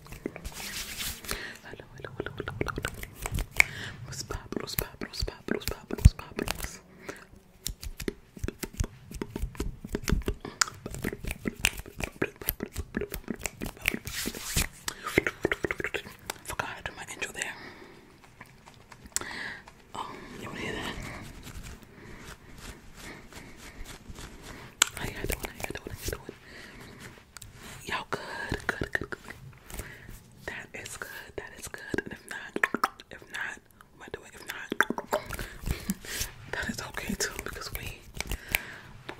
Hello, hello, hello, hello, hello. Los papros, papros, papros, papros, papros. Forgot to do my intro there. Oh, you wanna hear that? How got it, how got it, how got it. Y'all good, good, good, good. That is good, that is good. And if not, if not, what am I If not, that is okay too because we,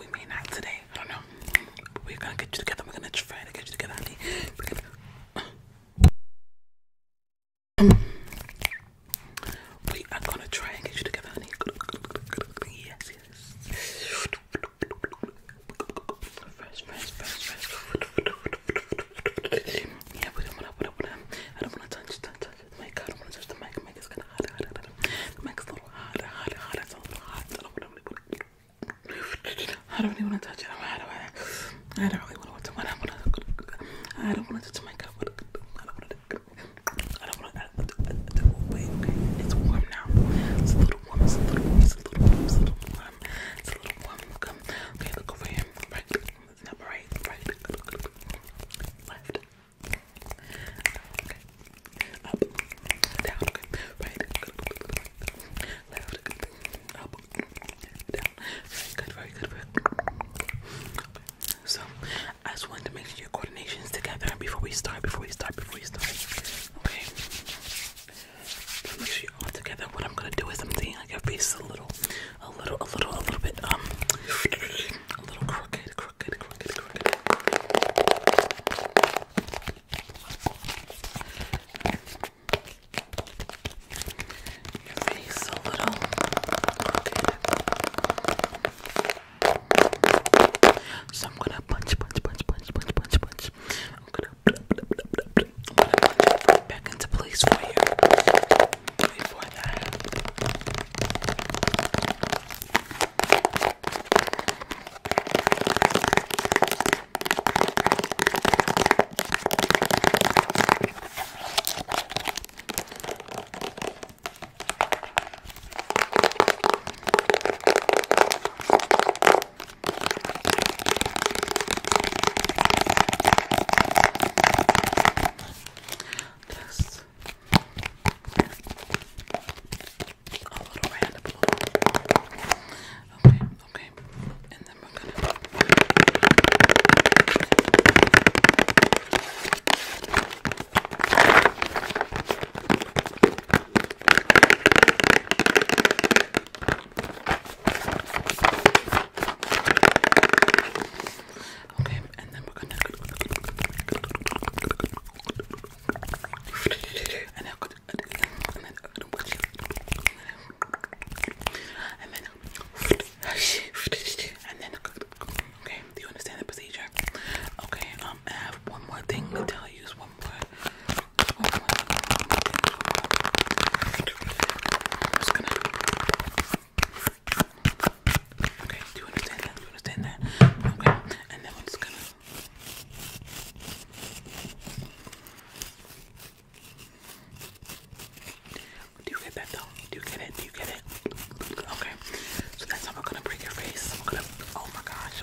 we may not today. I don't know. We're gonna get you together. We're gonna try to get you together, We're gonna, we are gonna try and get you together, honey. Yes, yes. Fresh, fresh, fresh, fresh. Yeah, we don't wanna, we don't wanna, I don't wanna touch, touch, touch the mic. I don't wanna touch the mic. The mic is kinda hot, hot, hot. The mic's a little hot, hot, hot. It's a little hot. I don't really wanna, I don't really wanna touch it. I don't, I don't really wanna, I don't wanna touch the mic. I don't wanna, I don't wanna, I don't wanna, it's warm now. It's a little warm. It's a little warm. It's a little warm. It's a little warm. Come. Okay, look over here. Right. It's not right. Left. Okay. Up. Down. Right. Left. Up. Down. Very good. Very good. Very So I just wanted to make sure you're together before we start, before we start, before we start. Okay. Make sure you're all together. What I'm gonna do is I'm seeing like your face a little, a little, a little, a little bit, um, a little crooked, crooked, crooked, crooked. Your face a little crooked. So I'm gonna punch, punch, punch, punch, punch, punch, punch. I'm gonna, I'm gonna punch right back into place for you. Wait for that. Just a little random Okay, okay. And then we're gonna Okay, and then we're gonna and then and then and then okay, do you understand the procedure? Okay, um um, I have one more thing to tell you. One one more, Okay, do you understand that? Do you understand that? Okay, and then we're just gonna. Do you get that though? Do you get it? Do you get it? Okay, so that's how we're gonna break your face. We're gonna. Oh my gosh!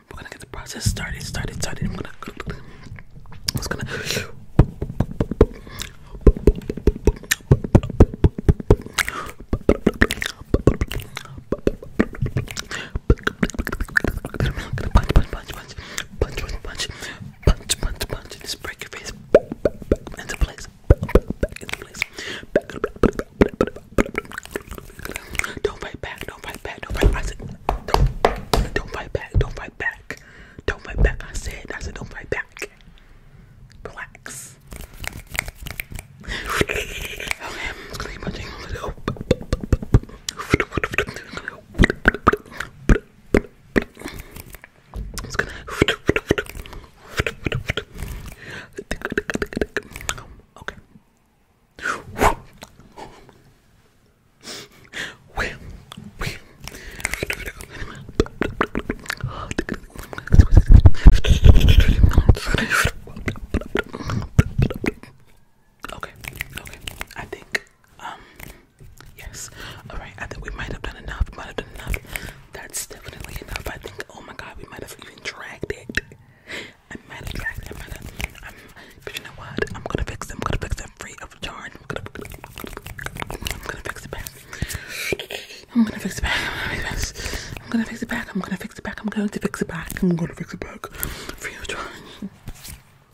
We're gonna get the process started, started, started. I'm gonna, I'm just gonna. Punch, punch, punch, punch, punch, punch, punch, punch, punch, punch, just break your face into place, back into place, back, back, don't fight back, don't fight back, don't fight back. I said, don't, don't fight back, don't fight back. Don't fight back, I said, I said, don't fight back. Relax. Okay, I'm just gonna leave my thing a little. I'm just gonna. Okay. Okay, okay. I think um yes. Alright, I think we might have done enough, might have done enough. That's definitely enough. I think oh my god, we might have even dragged it. I'm mad at guys. I'm mad at. I'm, but you know what? I'm gonna fix them. I'm gonna fix them free of charge. I'm gonna, I'm gonna fix it back. I'm gonna fix it back. I'm gonna fix it back. I'm gonna fix it back. I'm going to fix it back. I'm gonna fix it back. Free of charge.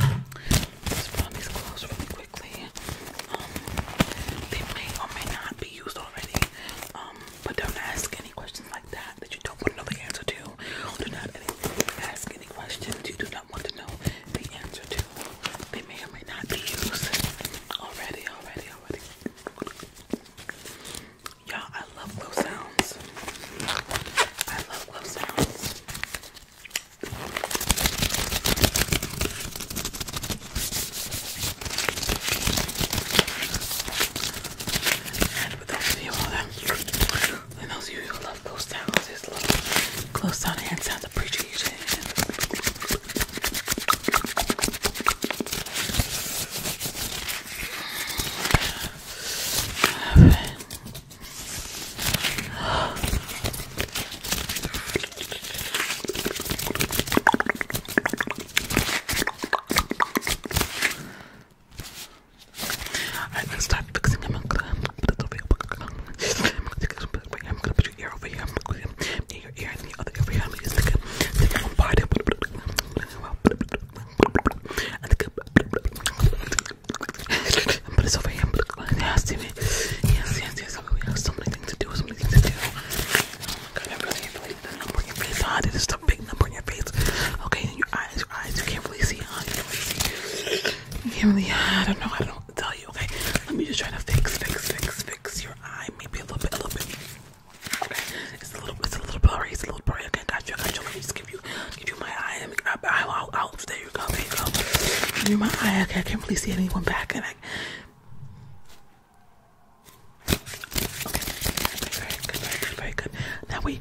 Let's put on these clothes really quickly. Um, they may or may not be used already. Um, but don't ask any questions like that that you don't want to know the answer to. Do not ask any questions you do not want to know the answer to. They may or may not be used. Already, already, already. Y'all, I love glove sounds. I love glove sounds. But those of you all that, and those of you who love close sounds, love close sound hand sounds appreciation. Alright, let's start fixing them. I'm gonna put it over here. I'm gonna take it over here. I'm gonna put your ear over here. I'm gonna put it near your ear and the other ear over here. I'm gonna just take it, take it one part. And take it, and put this over here. Yeah, see me? Yes, yes, yes. We have so many things to do, so many things to do. Oh my god, I really, really, I'm working really hard. It is a big number on your face. Okay, and your eyes, your eyes, you can't really see, huh? You can't really see. You can't really, I don't know, I don't know what to tell you, okay? Let me just try to fix, fix, fix, fix your eye, maybe a little bit, a little bit. Okay, it's a little, it's a little blurry, it's a little blurry. Okay, got you, I got you. Let me just give you, give you my eye. Let me, I, I'll, I'll, there you go, there you go. Give you my eye. Okay, I can't really see anyone back, and I. Okay, okay, very good, very good, very good. Now we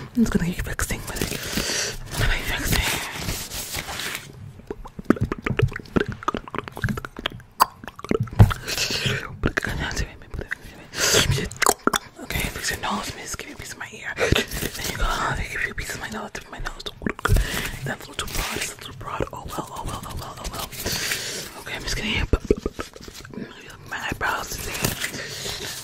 I'm just gonna keep fixing with it. I'm gonna keep fixing. Okay, fix your nose, miss. Give you a piece of my ear. Then you go, oh, they give you a piece of my nose, tip of my nose. That's a little too broad, it's a little broad. Oh well, oh well, oh well, oh well. Okay, I'm just gonna my eyebrows today.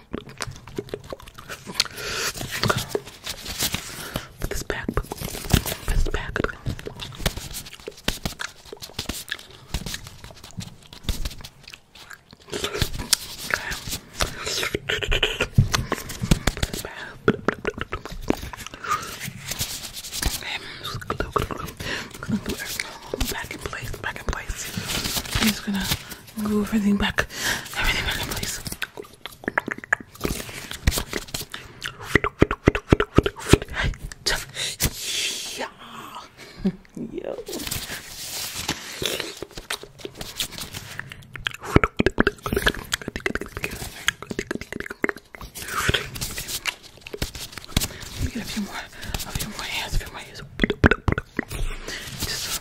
Put this back. Put this back. Okay. Glue, glue, glue. I'm gonna glue everything back in place, back in place. I'm just gonna Move everything back. Everything back in place. Yeah. Yo. Let me get a few more, a few more hands, a few more hands. Just,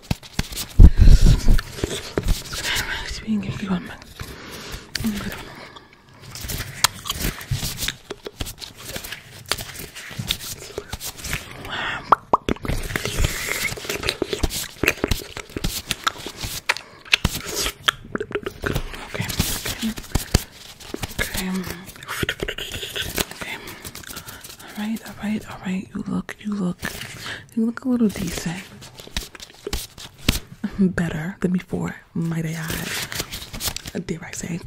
being if you want me. Okay. Okay. Okay. Okay. All right. All right. All right. You look. You look. You look a little decent. Better than before, might I add. Dare I say?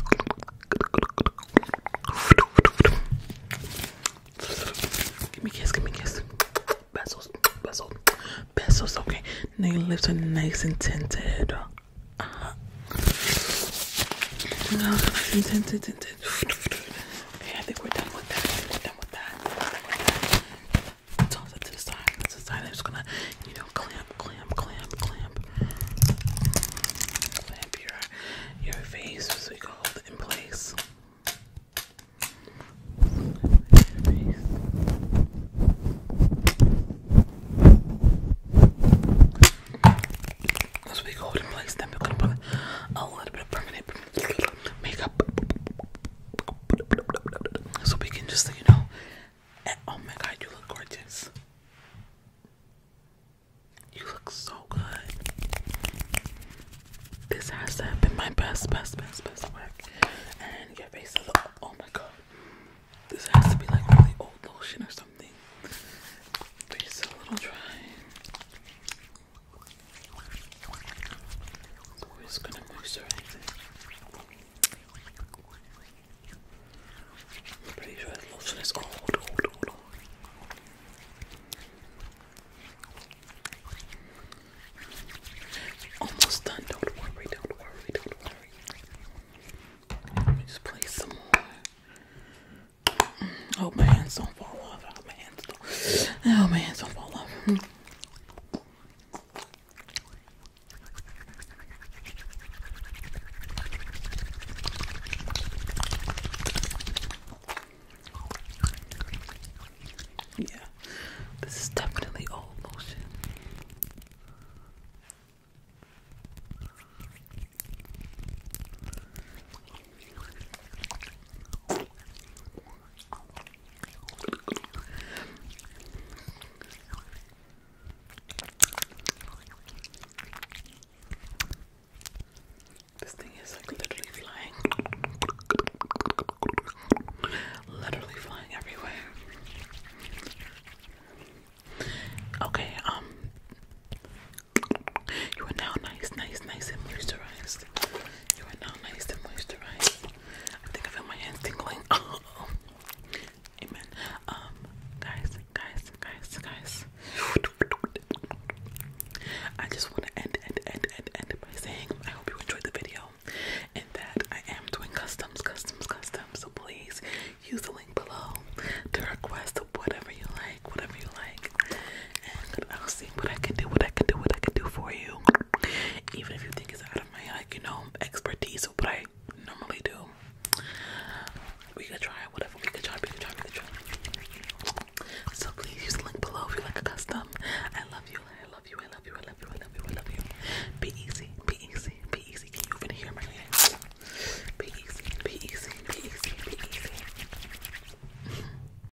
Give me kiss, give me a kiss. Pencils, pencils, pencils. Okay, now your lips are nice and tinted. Uh tinted, tinted. Okay, I think we're done with that. That's with that. to the side. To the side. I'm just gonna, you know, clamp, clamp, clamp, clamp, clamp your your face so we can hold it in place. Once we hold in place, then we're gonna put a little bit of permanent, makeup so we can just, you know. Eh, oh my god, you look gorgeous. You look so good. This has to have been my best, best, best, best work. And your face is, oh my god. This has to be like really old lotion or something. Face a little dry. We're gonna moose or I'm pretty sure lotion is old, old, old, Almost done, don't worry, don't worry, don't worry. Let me just place some more. Mm, oh, my hands don't fall off. Oh, my hands don't. Oh, my hands don't fall off. Hmm. Yeah, this is definitely old motion. This thing is like literally flying. Literally flying everywhere. Okay, um, you are now nice, nice, nice and moisturized. You are now nice and moisturized. I think I feel my hands tingling. Amen. Um, guys, guys, guys, guys. I just want to end, end, end, end, end by saying I hope you enjoyed the video and that I am doing customs, customs, customs. So please use the link below to request whatever you like, whatever you like week, and I'll see what I can do, what I can do, what I can do for you. Even if you think it's out of my like, you know, expertise of what I normally do, we could try whatever we could try, we could try, we could try. So please use the link below if you like a custom. I love you, I love you, I love you, I love you, I love you, I love you. Be easy, be easy, be easy. Can you even hear my name? Be easy, be easy, be easy, be easy.